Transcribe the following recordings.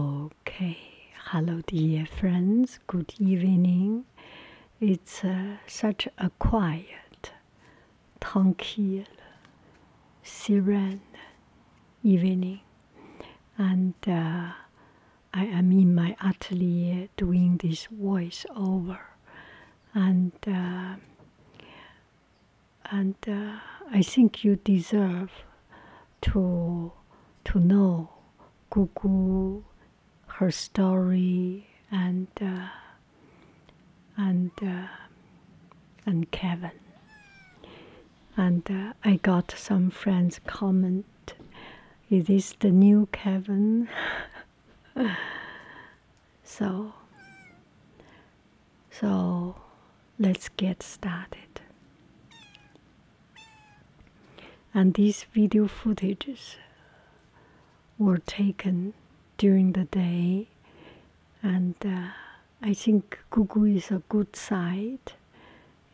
Okay, hello, dear friends. Good evening. It's uh, such a quiet, tranquil, serene evening, and uh, I am in my atelier doing this voiceover, and uh, and uh, I think you deserve to to know Gugu, her story, and uh, and uh, and Kevin. And I got some friends comment, "Is this the new Kevin?" so so let's get started. And these video footages were taken during the day, and uh, I think Gugu is a good sight.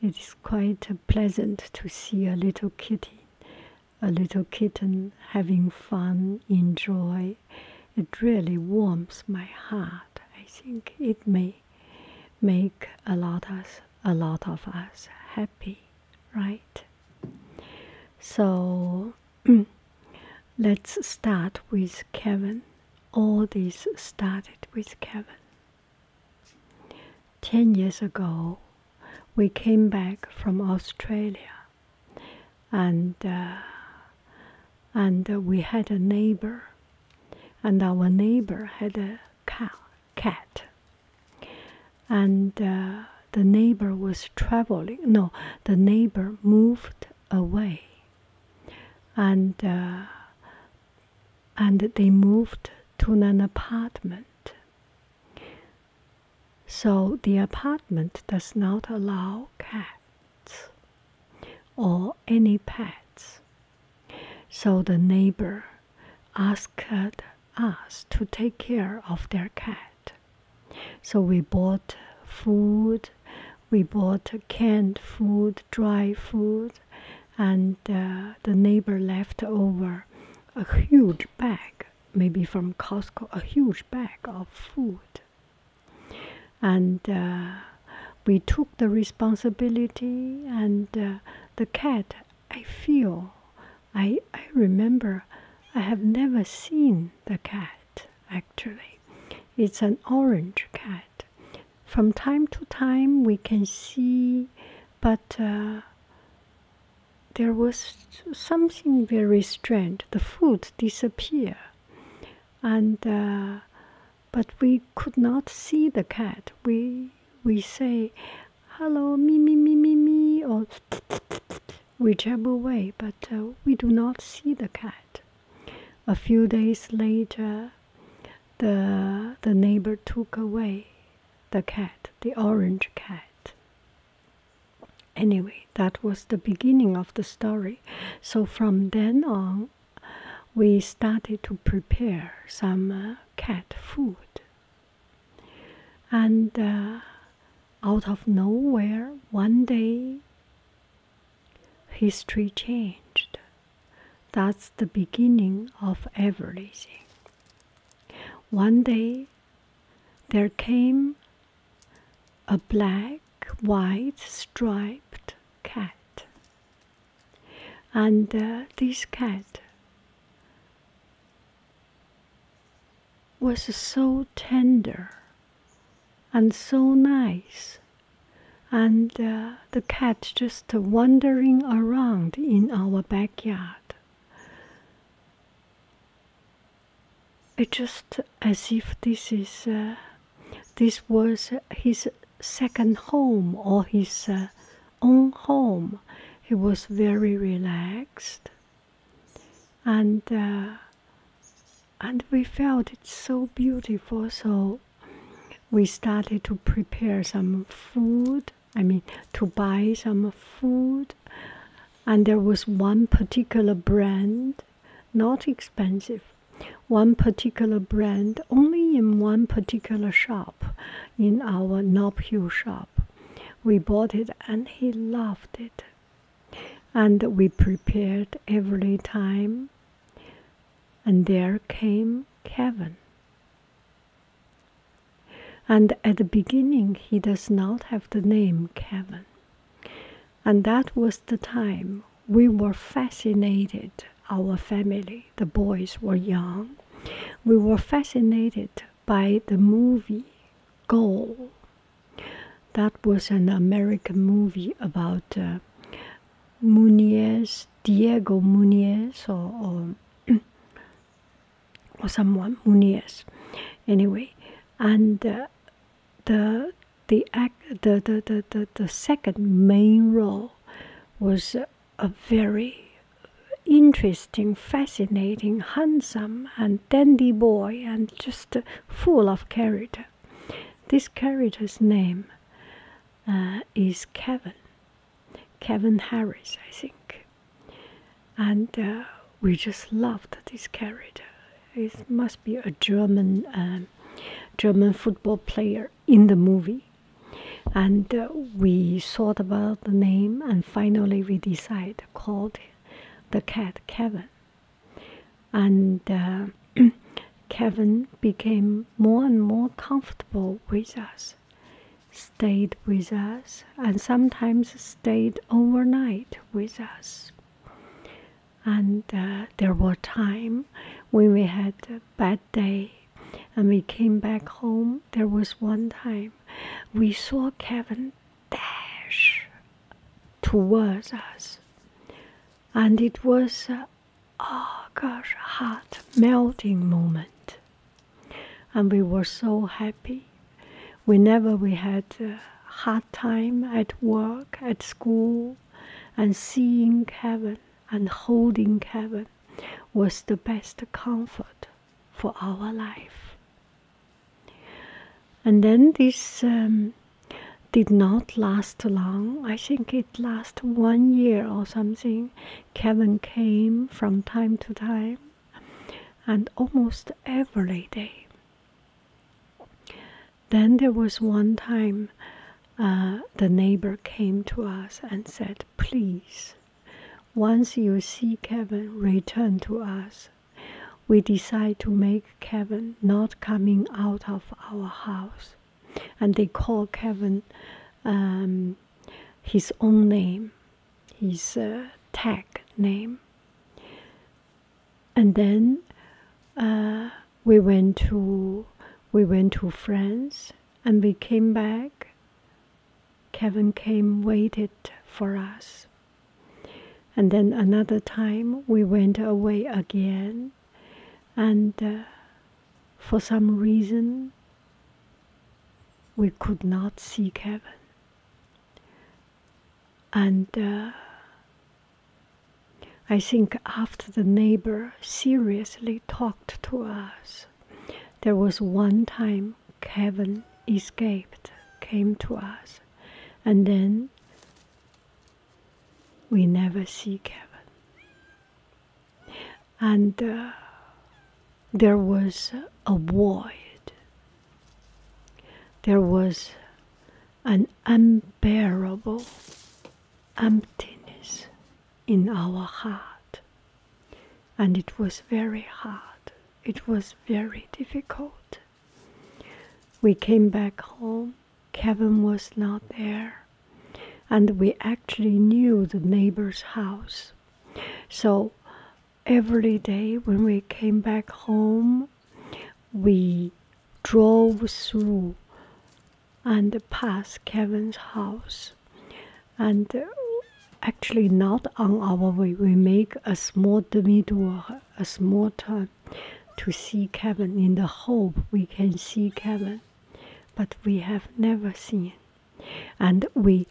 It is quite pleasant to see a little kitty, a little kitten having fun, enjoy it really warms my heart. I think it may make a lot of us happy, right? So let's start with Kevin. All this started with Kevin. Ten years ago, we came back from Australia, and uh, and we had a neighbor, and our neighbor had a cat, and uh, the neighbor was traveling. No, the neighbor moved away, and uh, and they moved to an apartment. So the apartment does not allow cat or any pets. So the neighbor asked us to take care of their cat. So we bought food, we bought canned food, dry food, and uh, the neighbor left over a huge bag, maybe from Costco, a huge bag of food and uh, we took the responsibility and uh, the cat i feel I, I remember i have never seen the cat actually it's an orange cat from time to time we can see but uh, there was something very strange the food disappeared and but we could not see the cat. We we say, "Hello, me me me me me," or t -t -t but uh, we do not see the cat. A few days later, the the neighbor took away the cat, the orange cat. Anyway, that was the beginning of the story. So from then on, we started to prepare some uh, cat food. And uh, out of nowhere, one day, history changed. That's the beginning of everything. One day, there came a black white striped cat. And uh, this cat was so tender and so nice. And uh, the cat just wandering around in our backyard. It's just as if this is uh, this was his second home or his uh, own home. He was very relaxed, and uh, and we felt it so beautiful. So we started to prepare some food. I mean, to buy some food, and there was one particular brand not expensive. One particular brand, only in one particular shop, in our Knob Hill shop. We bought it and he loved it. And we prepared every time. And there came Kevin. And at the beginning, he does not have the name Kevin and that was the time we were fascinated our family the boys were young we were fascinated by the movie goal that was an american movie about uh, Diego Munez, or, or, someone, Munez, anyway. And uh, the the act the the, the, the, second main role was a very interesting, fascinating, handsome and dandy boy and just full of character. This character's name uh, is Kevin. Kevin Harris, I think. And uh, we just loved this character. It must be a German um, German football player in the movie. And uh, we thought about the name, and finally we decided called the cat Kevin. And uh, Kevin became more and more comfortable with us, stayed with us, and sometimes stayed overnight with us and uh, there were time when we had a bad day and we came back home there was one time we saw kevin dash towards us and it was a, oh gosh heart melting moment and we were so happy whenever we had a hard time at work at school and seeing heaven and holding heaven was the best comfort for our life. And then this um, did not last long. I think it lasted one year or something. Kevin came from time to time and almost every day. Then there was one time uh, the neighbor came to us and said, Please, once you see Kevin, return to us. We decide to make Kevin not coming out of our house. And they call Kevin um, his own name, his uh, tag name. And then uh, we went to we went to France and we came back. Kevin came waited for us. And then another time we went away again and uh, for some reason we could not see Kevin. And uh, I think after the neighbor seriously talked to us, there was one time Kevin escaped, came to us, and then we never see Kevin. And uh, there was a void, there was an unbearable emptiness in our heart. And it was very hard, it was very difficult. We came back home, Kevin was not there, and we actually knew the neighbor's house. So every day when we came back home, we drove through and past Kevin's house. And actually, not on our way, we make a small detour, a small turn to see Kevin in the hope we can see Kevin, but we have never seen. And we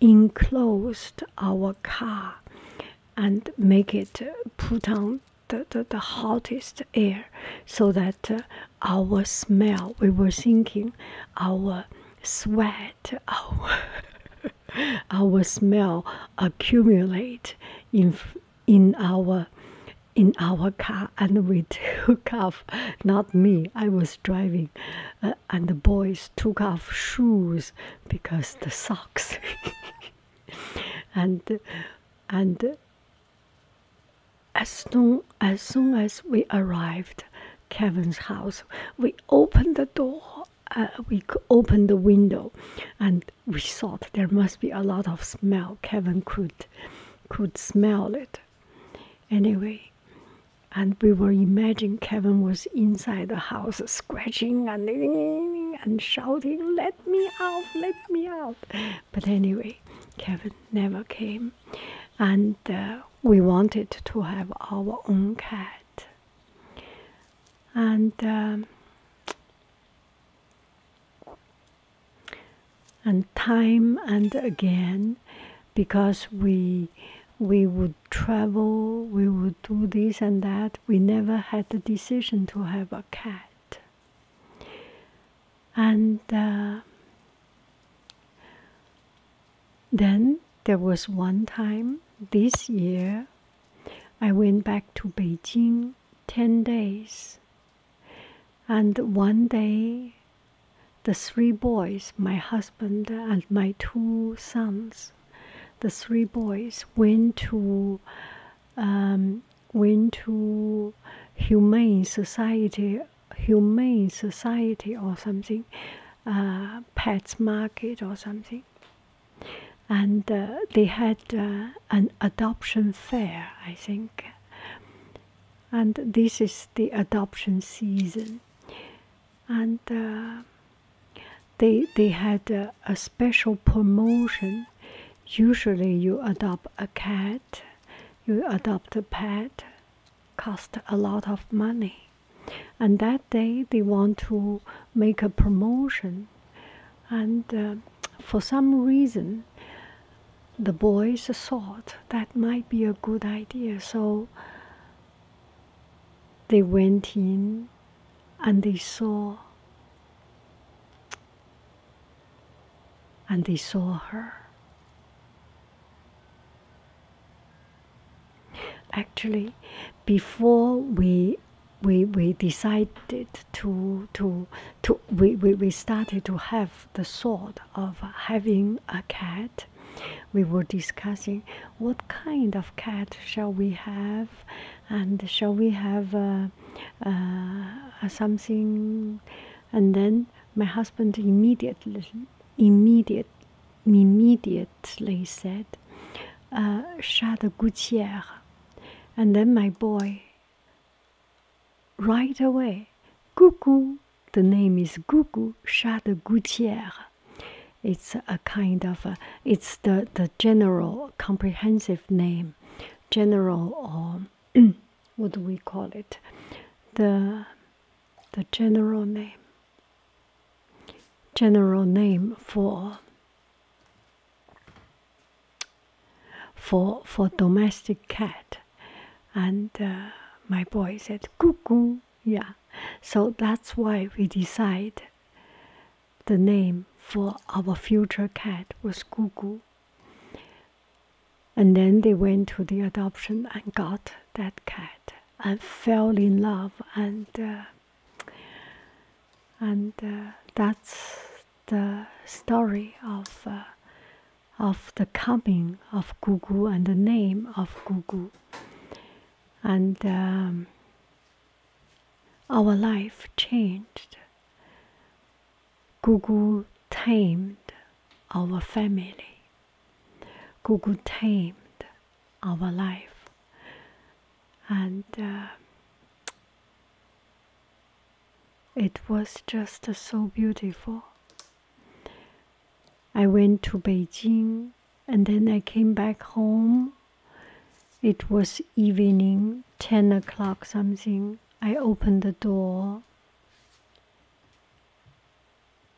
enclosed our car and make it put on the, the, the hottest air so that uh, our smell we were thinking our sweat our our smell accumulate in in our in our car and we took off not me i was driving uh, and the boys took off shoes because the socks and and as soon, as soon as we arrived kevin's house we opened the door uh, we opened the window and we thought there must be a lot of smell kevin could could smell it anyway and we were imagining kevin was inside the house scratching and and shouting let me out let me out but anyway, Kevin never came, and uh, we wanted to have our own cat. And um, and time and again, because we we would travel, we would do this and that. We never had the decision to have a cat and uh, then there was one time this year I went back to Beijing 10 days. And one day, the three boys, my husband and my two sons, the three boys went to um, went to humane society, humane society or something, uh, pets market or something, and uh, they had uh, an adoption fair, I think. And this is the adoption season, and uh, they they had a special promotion. Usually, you adopt a cat you adopt a pet cost a lot of money and that day they want to make a promotion and uh, for some reason the boys thought that might be a good idea so they went in and they saw and they saw her. Actually, before we we, we decided to to to we, we, we started to have the thought of having a cat. We were discussing what kind of cat shall we have, and shall we have uh, uh, something and then my husband immediately immediate, immediately said uh, Charles and then my boy right away Gugu the name is Gugu Charles Gouttier it's a kind of it's the the general comprehensive name general um, or what do we call it the the general name general name for for for domestic cat and uh, my boy said cuckoo yeah so that's why we decide the name for our future cat was cuckoo and then they went to the adoption and got that cat and fell in love and uh, and uh, that's the story of uh, of the coming of Gugu and the name of Gugu and um, our life changed Gugu tamed our family. Gugu tamed our life. And uh, it was just so beautiful. I went to Beijing and then I came back home. It was evening, 10 o'clock something. I opened the door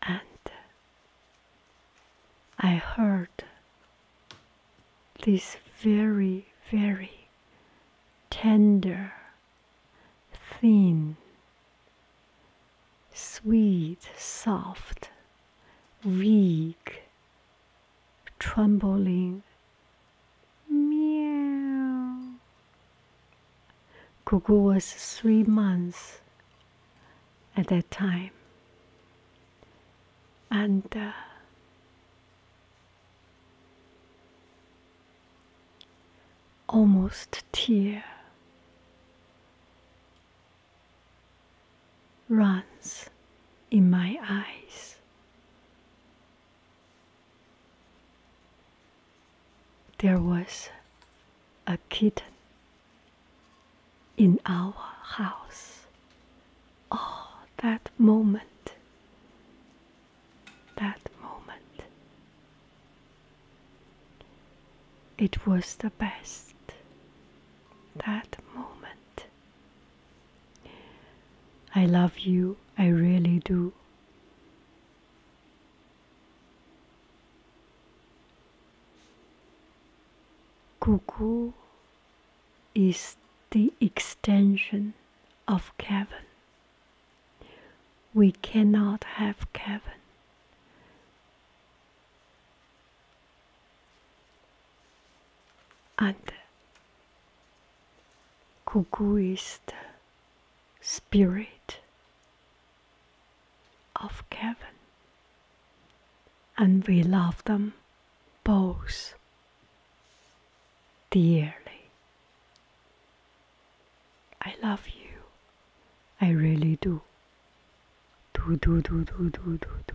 and I heard this very, very tender, thin, sweet, soft, weak, trembling Meow. Gugu was three months at that time. And uh, almost tears runs in my eyes. There was a kitten in our house. Oh, that moment, that moment. It was the best, that moment. I love you, I really do. Gugu is the extension of Kevin. We cannot have Kevin. And Gugu is the spirit of Kevin, and we love them both dearly. I love you, I really do. Do, do, do, do, do, do, do.